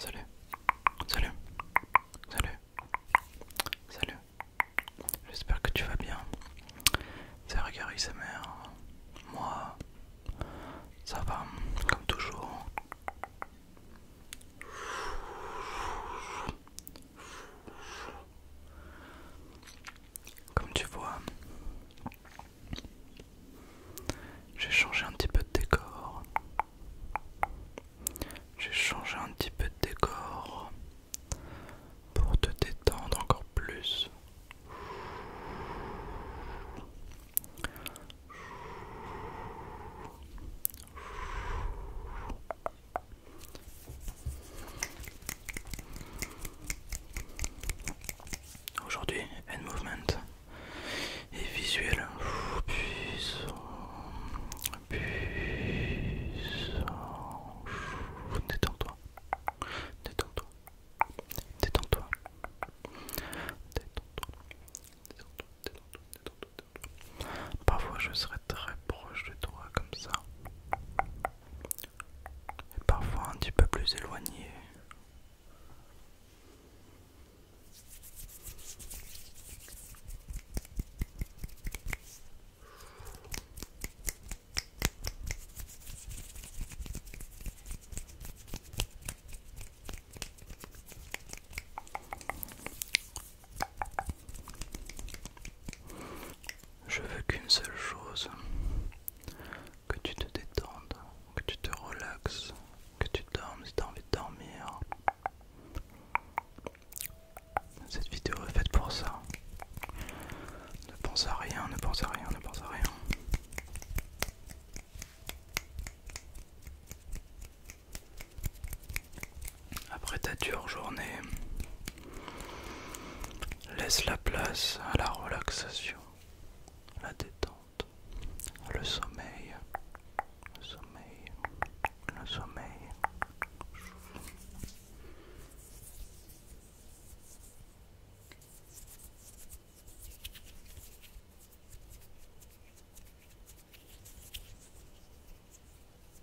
Salut, salut, salut, salut. J'espère que tu vas bien. C'est Gary sa mère. Moi, ça va, comme toujours. Comme tu vois, j'ai changé un petit peu de décor. J'ai changé un petit peu de décor pour te détendre encore plus. Aujourd'hui, End Movement et visuel. Puis Détends-toi, détends-toi, détends-toi, détends-toi, détends-toi, détends-toi, toi Parfois, je très proche de toi comme ça. Et parfois un petit peu plus éloigné. Je veux qu'une seule chose, que tu te détendes, que tu te relaxes, que tu dormes si tu as envie de dormir. Cette vidéo est faite pour ça. Ne pense à rien, ne pense à rien, ne pense à rien. Après ta dure journée, laisse la place à la relaxation, la détente, le sommeil, le sommeil, le sommeil.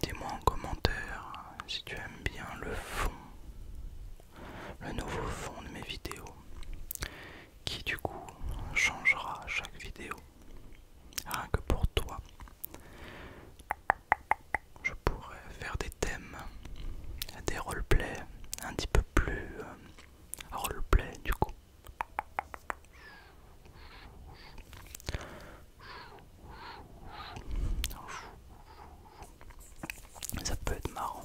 Dis-moi en commentaire si tu aimes bien le fond, le nouveau fond de mes vidéos, qui du coup changera chaque vidéo, rien que pour toi je pourrais faire des thèmes, des plays, un petit peu plus euh, role play du coup. Ça peut être marrant.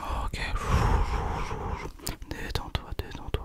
Ok, détends-toi, détends-toi.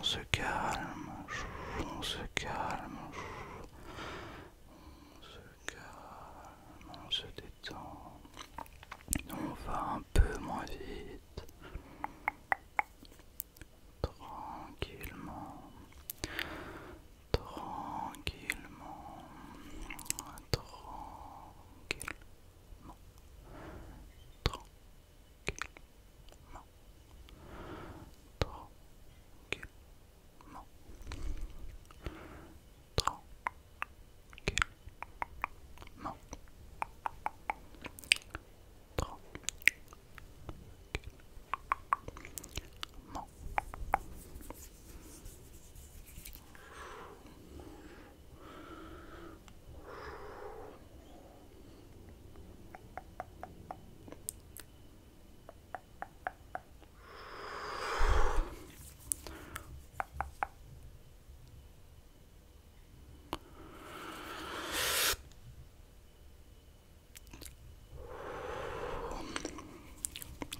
Ok, on se calme, on se calme on se calme, on se détend, on va un peu moins vite, tranquillement, tranquillement, tranquillement, tranquillement. Tranquillement, Tranquillement.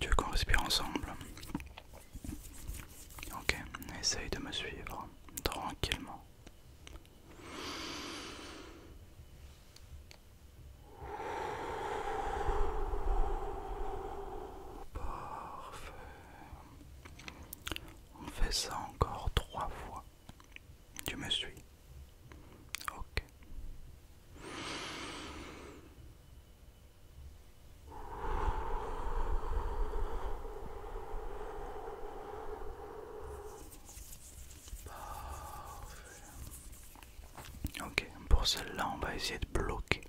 Tu veux qu'on respire ensemble Ok, essaye de me suivre tranquillement. Parfait. On fait ça encore trois fois. Tu me suis. Ok. Ok, pour celle-là, on va essayer de bloquer.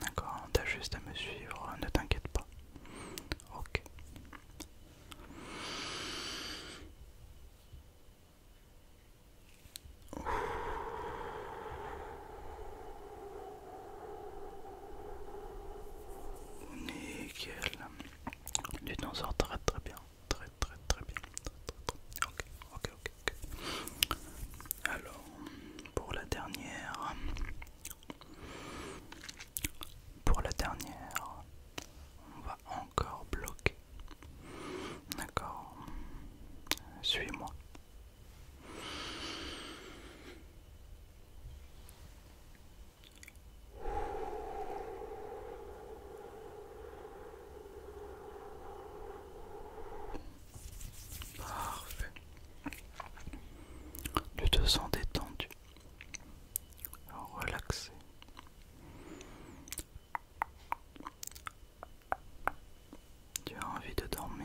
D'accord, t'as juste à me suivre, ne t'inquiète pas. Ok. Nickel. t'en sort très très bien très très très bien. Ok, ok, ok. ok. Alors, pour la dernière, pour la dernière, on va encore bloquer. D'accord, suis-moi. Parfait. Tu te sens détendu, relaxé. Tu as envie de dormir.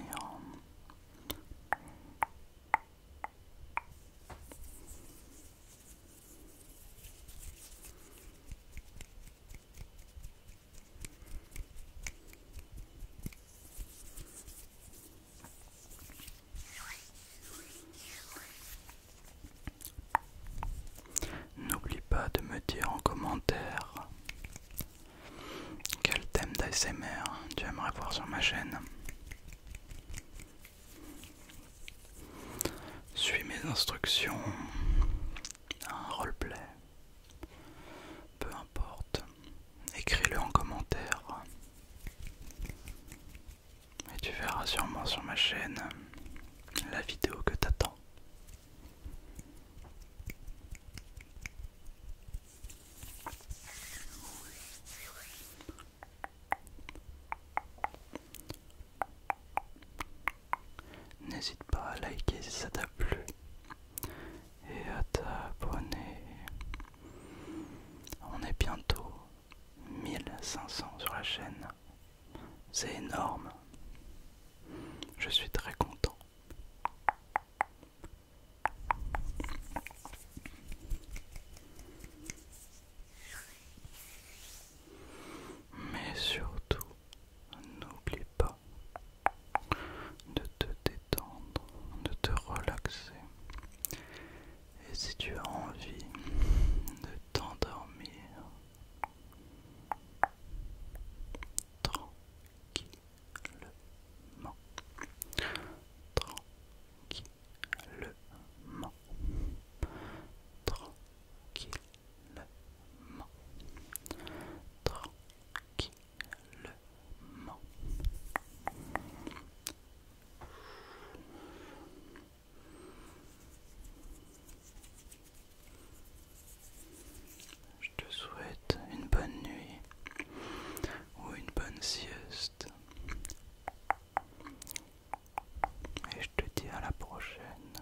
N'oublie pas de me dire en commentaire quel thème d'ASMR tu aimerais voir sur ma chaîne. Suis mes instructions un roleplay, peu importe, écris-le en commentaire et tu verras sûrement sur ma chaîne la vidéo que t'attends. N'hésite pas à liker si ça t'a plu et à t'abonner. On est bientôt 1500 sur la chaîne. C'est énorme. Je suis très content. Mais surtout, N'oublie pas de te détendre, de te relaxer. Et si tu as envie de t'endormir tranquillement, je te souhaite une bonne nuit ou une bonne sieste. Et je te dis à la prochaine.